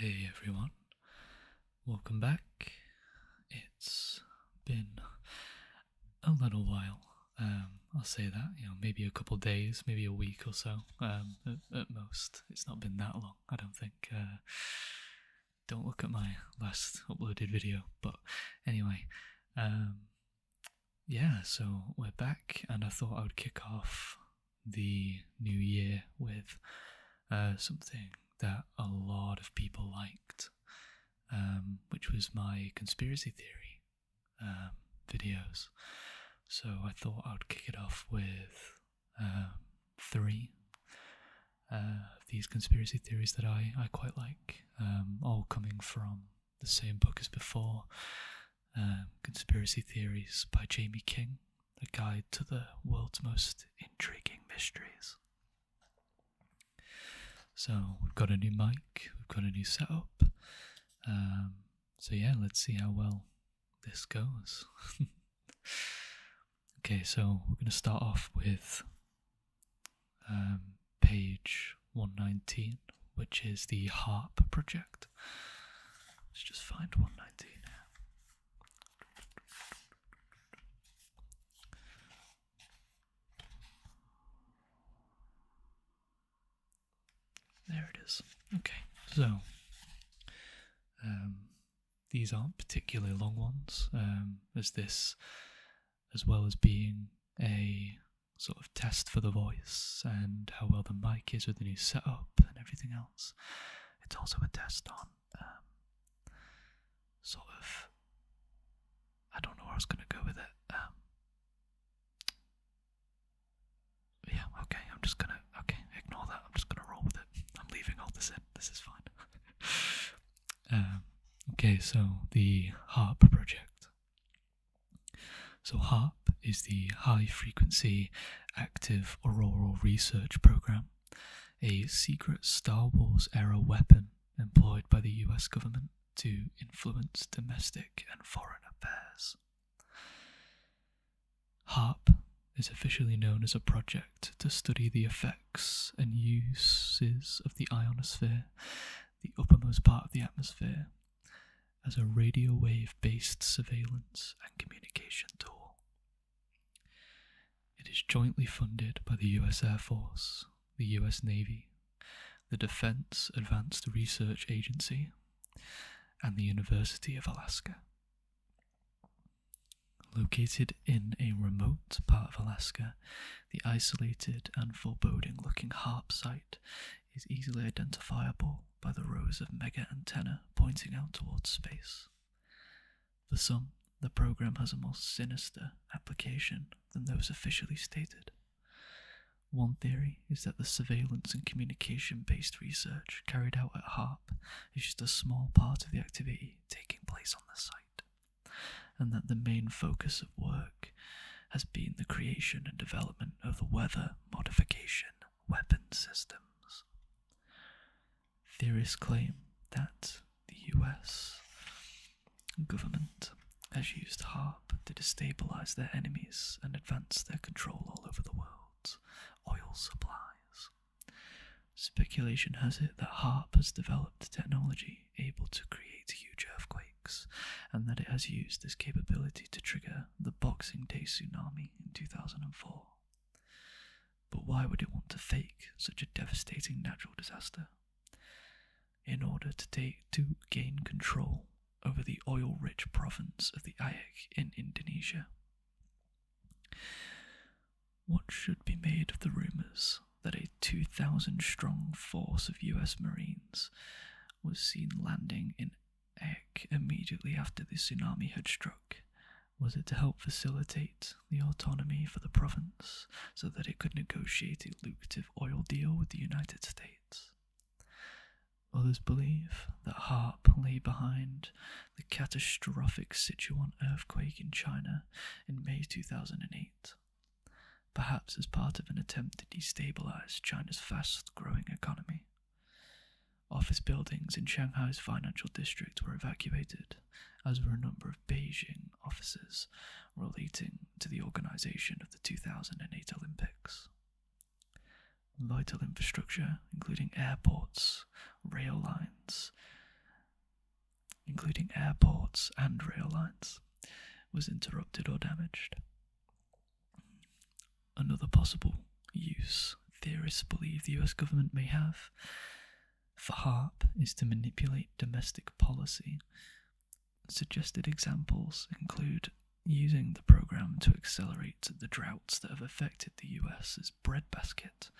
Hey everyone, welcome back. It's been a little while. Um, I'll say that, you know, maybe a couple days, maybe a week or so, um, at, most. It's not been that long, I don't think. Uh, don't look at my last uploaded video, but anyway, um, yeah, so we're back, and I thought I would kick off the new year with uh, something that a lot of people liked, um, which was my conspiracy theory um, videos. So I thought I'd kick it off with um, three uh, of these conspiracy theories that I, I quite like, all coming from the same book as before um, Conspiracy Theories by Jamie King, a guide to the world's most intriguing mysteries. So, we've got a new mic, we've got a new setup. Um, so, yeah, let's see how well this goes. okay, so we're going to start off with um, page 119 which is the HARP project. Let's just find 119 now. There it is. Okay, so um, these aren't particularly long ones, um, as this, as well as being a sort of test for the voice and how well the mic is with the new setup and everything else. It's also a test on um, sort of. I don't know where I was going to go with it. Um, yeah, okay, I'm just going to. Okay, ignore that. I'm just going to roll with it. I'm leaving all this in. This is fine. Um, okay, so the harp project. So, HARP is the High Frequency Active Auroral Research Program, a secret Star Wars era weapon employed by the US government to influence domestic and foreign affairs. HARP is officially known as a project to study the effects and uses of the ionosphere, the uppermost part of the atmosphere, as a radio wave based surveillance and communication tool. It is jointly funded by the US Air Force, the US Navy, the Defense Advanced Research Agency, and the University of Alaska. Located in a remote part of Alaska, the isolated and foreboding looking harp site is easily identifiable by the rows of mega antennae pointing out towards space. For some, the program has a more sinister application than those officially stated. One theory is that the surveillance and communication based research carried out at HARP is just a small part of the activity taking place on the site, and that the main focus of work has been the creation and development of the weather modification weapon systems. Theorists claim that the US government has used HARP to destabilize their enemies and advance their control all over the world's oil supplies. Speculation has it that HARP has developed technology able to create huge earthquakes and that it has used this capability to trigger the Boxing Day tsunami in 2004. But why would it want to fake such a devastating natural disaster? In order to, gain control over the oil rich province of the Ayak in Indonesia. What should be made of the rumours that a 2,000 strong force of US Marines was seen landing in Ek immediately after the tsunami had struck. Was it to help facilitate the autonomy for the province so that it could negotiate a lucrative oil deal with the United States? Others believe that HARP lay behind the catastrophic Sichuan earthquake in China in May 2008, perhaps as part of an attempt to destabilize China's fast growing economy. Office buildings in Shanghai's financial district were evacuated, as were a number of Beijing offices relating to the organization of the 2008 Olympics. Vital infrastructure, including airports, rail lines, including airports and rail lines, was interrupted or damaged. Another possible use theorists believe the US government may have for HARP is to manipulate domestic policy. Suggested examples include using the program to accelerate the droughts that have affected the US as breadbasket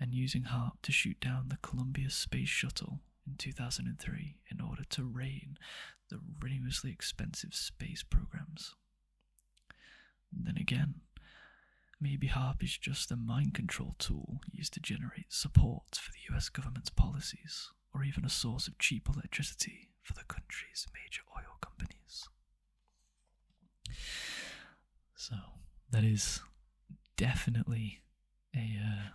and using HARP to shoot down the Columbia space shuttle in 2003 in order to rein the ruinously expensive space programs. Then again, maybe HARP is just a mind control tool used to generate support for the US government's policies, or even a source of cheap electricity for the country's major oil companies. So, that is definitely a uh,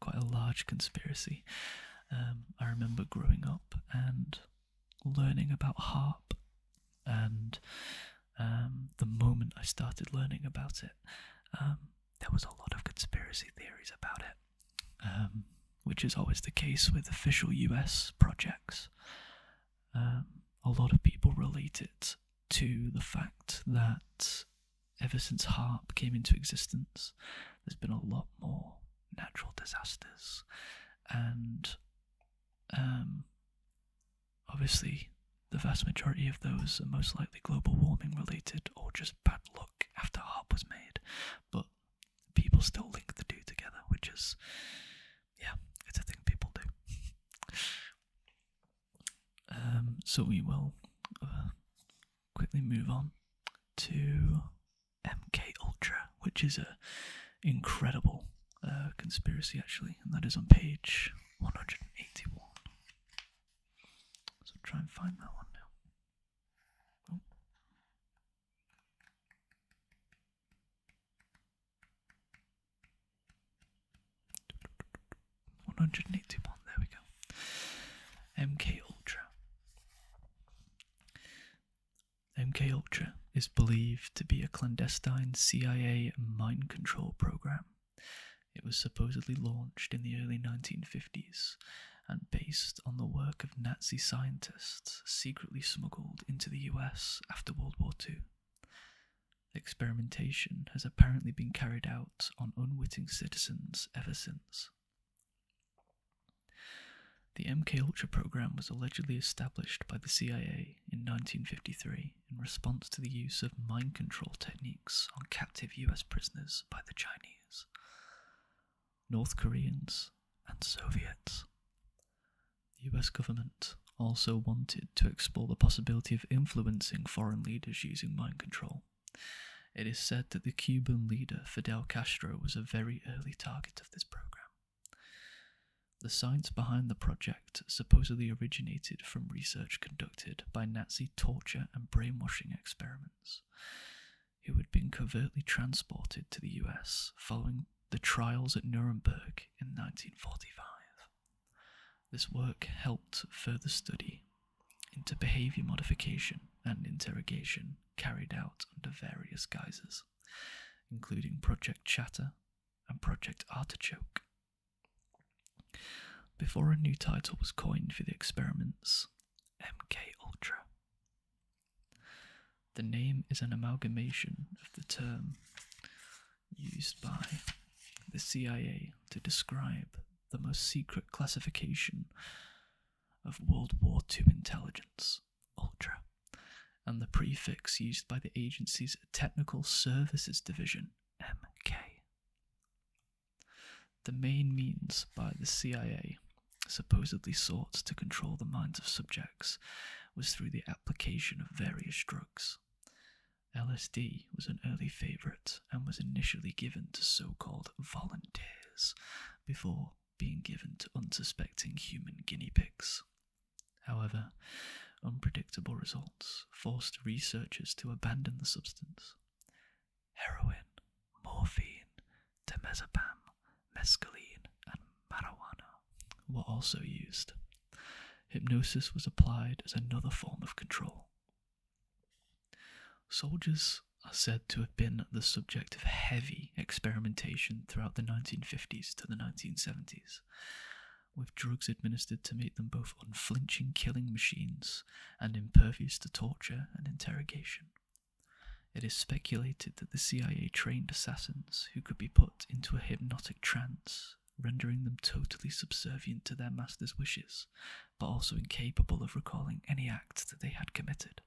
quite a large conspiracy. Um, I remember growing up and learning about harp, and um, the moment I started learning about it, um, there was a lot of conspiracy theories about it. which is always the case with official US projects. a lot of people relate it to the fact that ever since HARP came into existence, there's been a lot more natural disasters. And um, obviously, the vast majority of those are most likely global warming related or just bad luck after HARP was made. But people still link the two together, which is, yeah, it's a thing people do. Um, so we will uh, quickly move on to MK Ultra, which is an incredible uh, conspiracy actually, and that is on page 181. So try and find that one now. 181, there we go. MK Ultra. MK Ultra is believed to be a clandestine CIA mind control program. It was supposedly launched in the early 1950s and based on the work of Nazi scientists secretly smuggled into the US after World War II. Experimentation has apparently been carried out on unwitting citizens ever since. The MK Ultra program was allegedly established by the CIA in 1953 in response to the use of mind control techniques on captive US prisoners by the Chinese, North Koreans, and Soviets. The US government also wanted to explore the possibility of influencing foreign leaders using mind control. It is said that the Cuban leader Fidel Castro was a very early target of this program. The science behind the project supposedly originated from research conducted by Nazi torture and brainwashing experiments, who had been covertly transported to the US following the trials at Nuremberg in 1945. This work helped further study into behavior modification and interrogation carried out under various guises, including Project Chatter and Project Artichoke. Before a new title was coined for the experiments, MK Ultra. The name is an amalgamation of the term used by the CIA to describe the most secret classification of World War II intelligence, Ultra, and the prefix used by the agency's Technical Services Division, MK. The main means by the CIA supposedly sought to control the minds of subjects was through the application of various drugs. LSD was an early favorite and was initially given to so called volunteers before being given to unsuspecting human guinea pigs. However, unpredictable results forced researchers to abandon the substance. Heroin, morphine, temazepam, mescaline, and marijuana were also used Hypnosis was applied as another form of control. Soldiers are said to have been the subject of heavy experimentation throughout the 1950s to the 1970s, with drugs administered to make them both unflinching killing machines and impervious to torture and interrogation. It is speculated that the CIA trained assassins who could be put into a hypnotic trance rendering them totally subservient to their master's wishes, but also incapable of recalling any act that they had committed.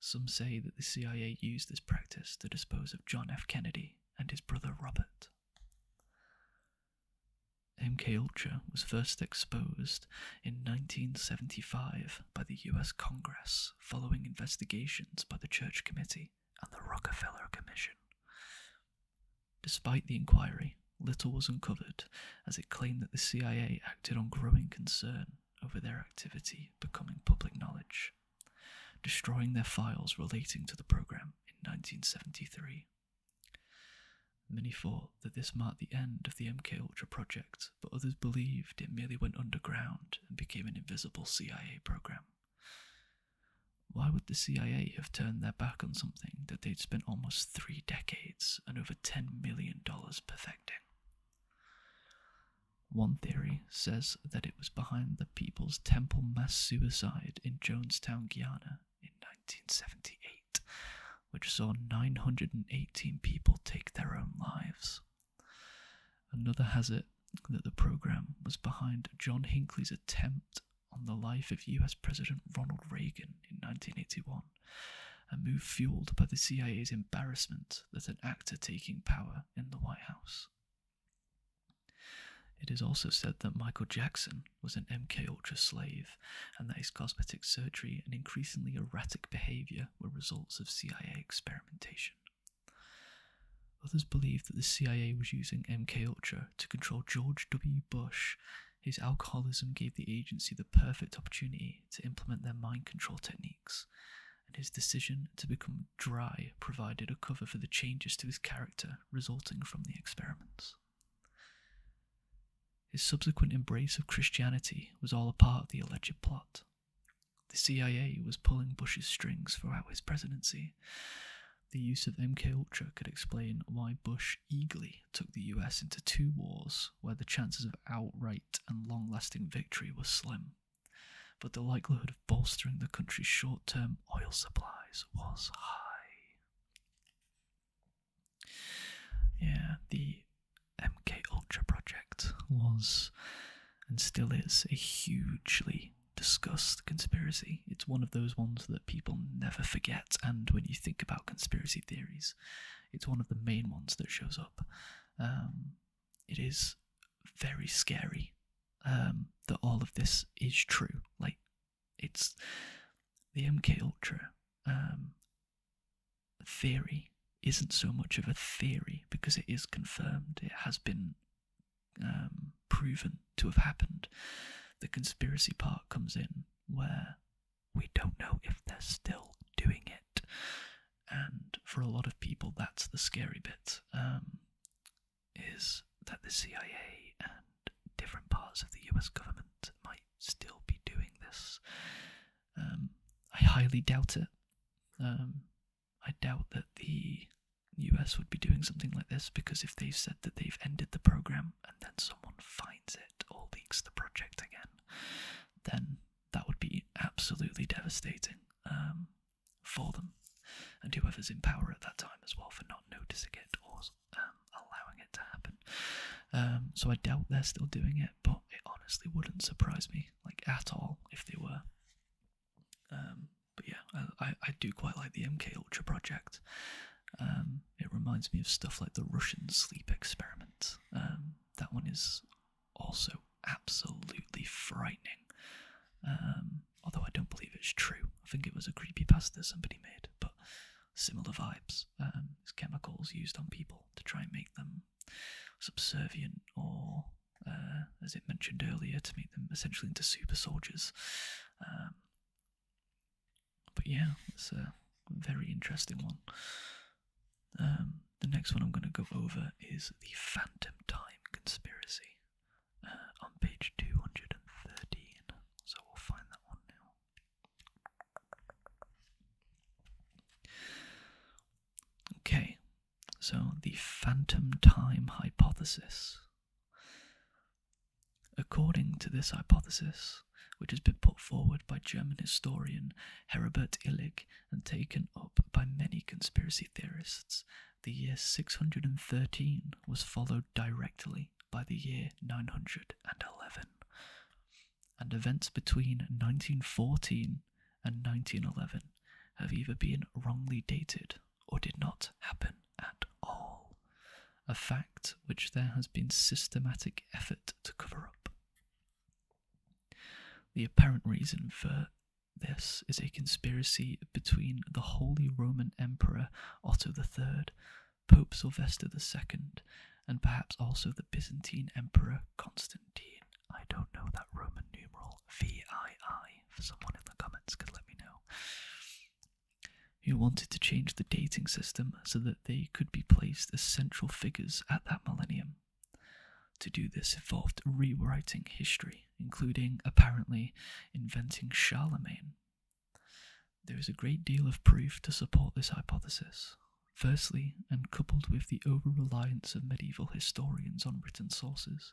Some say that the CIA used this practice to dispose of John F. Kennedy and his brother Robert. MK-Ultra was first exposed in 1975 by the US Congress following investigations by the Church Committee and the Rockefeller Commission. Despite the inquiry, little was uncovered as it claimed that the CIA acted on growing concern over their activity becoming public knowledge, destroying their files relating to the program in 1973. Many thought that this marked the end of the MK Ultra project, but others believed it merely went underground and became an invisible CIA program why would the CIA have turned their back on something that they'd spent almost three decades and over $10 million perfecting? One theory says that it was behind the People's Temple mass suicide in Jonestown, Guyana in 1978, which saw 918 people take their own lives. Another has it that the program was behind John Hinckley's attempt on the life of US President Ronald Reagan in 1981, a move fueled by the CIA's embarrassment that an actor taking power in the White House. It is also said that Michael Jackson was an MKUltra slave and that his cosmetic surgery and increasingly erratic behavior were results of CIA experimentation. Others believe that the CIA was using MK Ultra to control George W. Bush. His alcoholism gave the agency the perfect opportunity to implement their mind control techniques, and his decision to become dry provided a cover for the changes to his character resulting from the experiments. His subsequent embrace of Christianity was all a part of the alleged plot. The CIA was pulling Bush's strings throughout his presidency. The use of MKUltra could explain why Bush eagerly took the US into two wars where the chances of outright and long lasting victory were slim, but the likelihood of bolstering the country's short term oil supplies was high. Yeah, the MKUltra project was and still is a hugely discuss conspiracy. It's one of those ones that people never forget, and when you think about conspiracy theories, it's one of the main ones that shows up. Um, it is very scary um, that all of this is true. Like, it's the MK Ultra um, theory isn't so much of a theory because it is confirmed. It has been um, proven to have happened, the conspiracy part comes in where we don't know if they're still doing it. And for a lot of people, that's the scary bit um, is that the CIA and different parts of the US government might still be doing this. Um, I highly doubt it. I doubt that the US would be doing something like this because if they've said that they've ended the program and then someone finds it or leaks the project again, then that would be absolutely devastating um, for them and whoever's in power at that time as well for not noticing it or um, allowing it to happen. Um, so I doubt they're still doing it, but it honestly wouldn't surprise me like at all if they were but yeah, I, I do quite like the MK Ultra project. Um, it reminds me of stuff like the Russian sleep experiment. Um, that one is also absolutely frightening. Um, although I don't believe it's true. I think it was a creepy pasta somebody made, but similar vibes. Um, it's chemicals used on people to try and make them subservient or uh, as it mentioned earlier, to make them essentially into super soldiers. Um, but yeah, it's a very interesting one. Um, the next one I'm going to go over is the Phantom Time Conspiracy uh, on page 213. So we'll find that one now. Okay, so, the phantom time hypothesis. According to this hypothesis, which has been put forward by German historian Herbert Illig and taken up by many conspiracy theorists, the year 613 was followed directly by the year 911, and events between 1914 and 1911 have either been wrongly dated or did not happen at all, a fact which there has been systematic effort to cover up. The apparent reason for this is a conspiracy between the Holy Roman Emperor Otto III, Pope Sylvester II, and perhaps also the Byzantine Emperor Constantine. I don't know that Roman numeral VII. For someone in the comments could let me know. Who wanted to change the dating system so that they could be placed as central figures at that millennium. To do this involved rewriting history, including, apparently, inventing Charlemagne. There is a great deal of proof to support this hypothesis. Firstly, and coupled with the over reliance of medieval historians on written sources,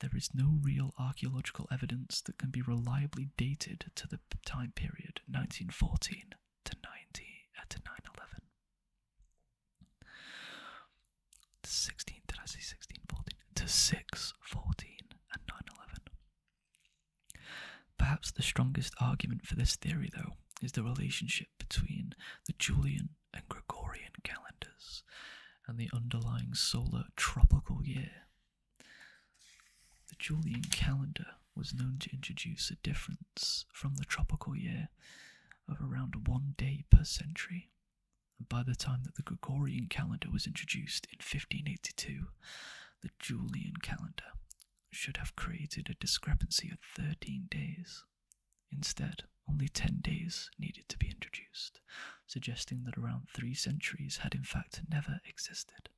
there is no real archaeological evidence that can be reliably dated to the time period 1914 to 90 uh, to did I say 1614 to 614 and 911. Perhaps the strongest argument for this theory though is the relationship between the Julian and Gregorian calendars and the underlying solar tropical year. The Julian calendar was known to introduce a difference from the tropical year of around one day per century. And by the time that the Gregorian calendar was introduced in 1582, the Julian calendar should have created a discrepancy of 13 days. Instead, only ten days needed to be introduced, suggesting that around three centuries had in fact never existed.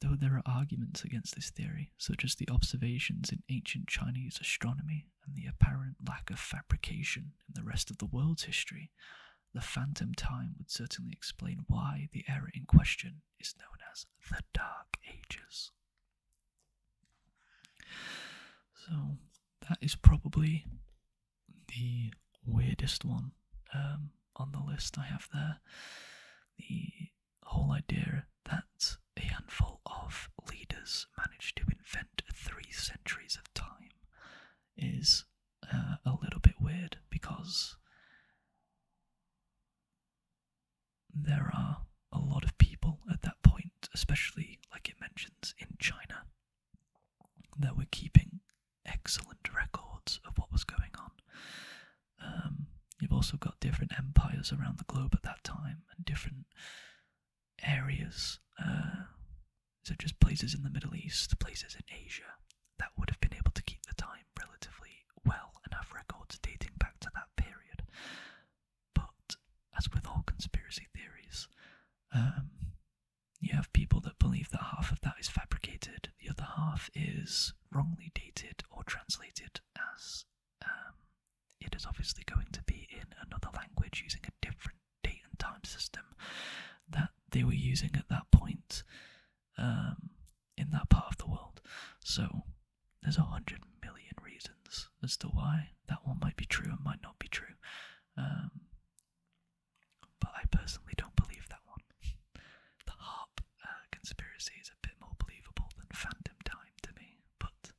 Though there are arguments against this theory, such as the observations in ancient Chinese astronomy and the apparent lack of fabrication in the rest of the world's history, the phantom time would certainly explain why the era in question is known as the Dark Ages. So that is probably the weirdest one um, on the list I have there. The whole idea that a handful of leaders managed to invent three centuries of time is uh, a little bit weird because there are a lot of people at that point, especially like it mentions in China, that were keeping excellent records of what was going on. Um, you've also got different empires around the globe at that time and different areas. Uh, so just places in the Middle East, places in Asia, that would have been able to keep the time relatively well enough, records dating back to that period. But as with all conspiracy theories, um, you have people that believe that half of that is fabricated, the other half is wrongly dated or translated as um, it is obviously going to be in another language using a different date and time system that they were using at that point um, in that part of the world. So there's a hundred million reasons as to why that one might be true and might not be true. Um, but I personally don't believe that one. the harp uh, conspiracy is a bit more believable than Phantom Time to me, but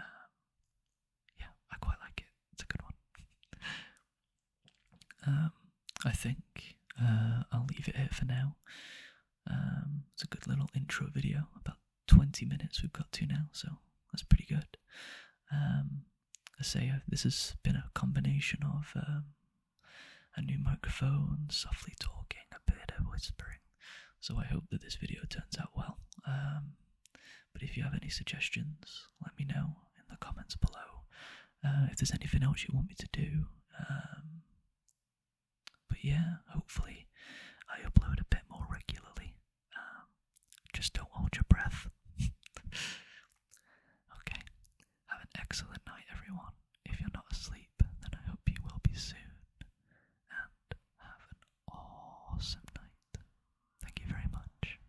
um, yeah, I quite like it. It's a good one. Um, I think uh, I'll leave it here for now. Um, it's a good little intro video, about 20 minutes we've got to now, so that's pretty good. Um, I say uh, this has been a combination of um, a new microphone, softly talking, a bit of whispering. So I hope that this video turns out well. Um, but if you have any suggestions, let me know in the comments below. Uh, if there's anything else you want me to do, but yeah, hopefully I upload a bit more regularly. Um, just don't hold your breath. okay, have an excellent night, everyone. If you're not asleep, then I hope you will be soon. And have an awesome night. Thank you very much.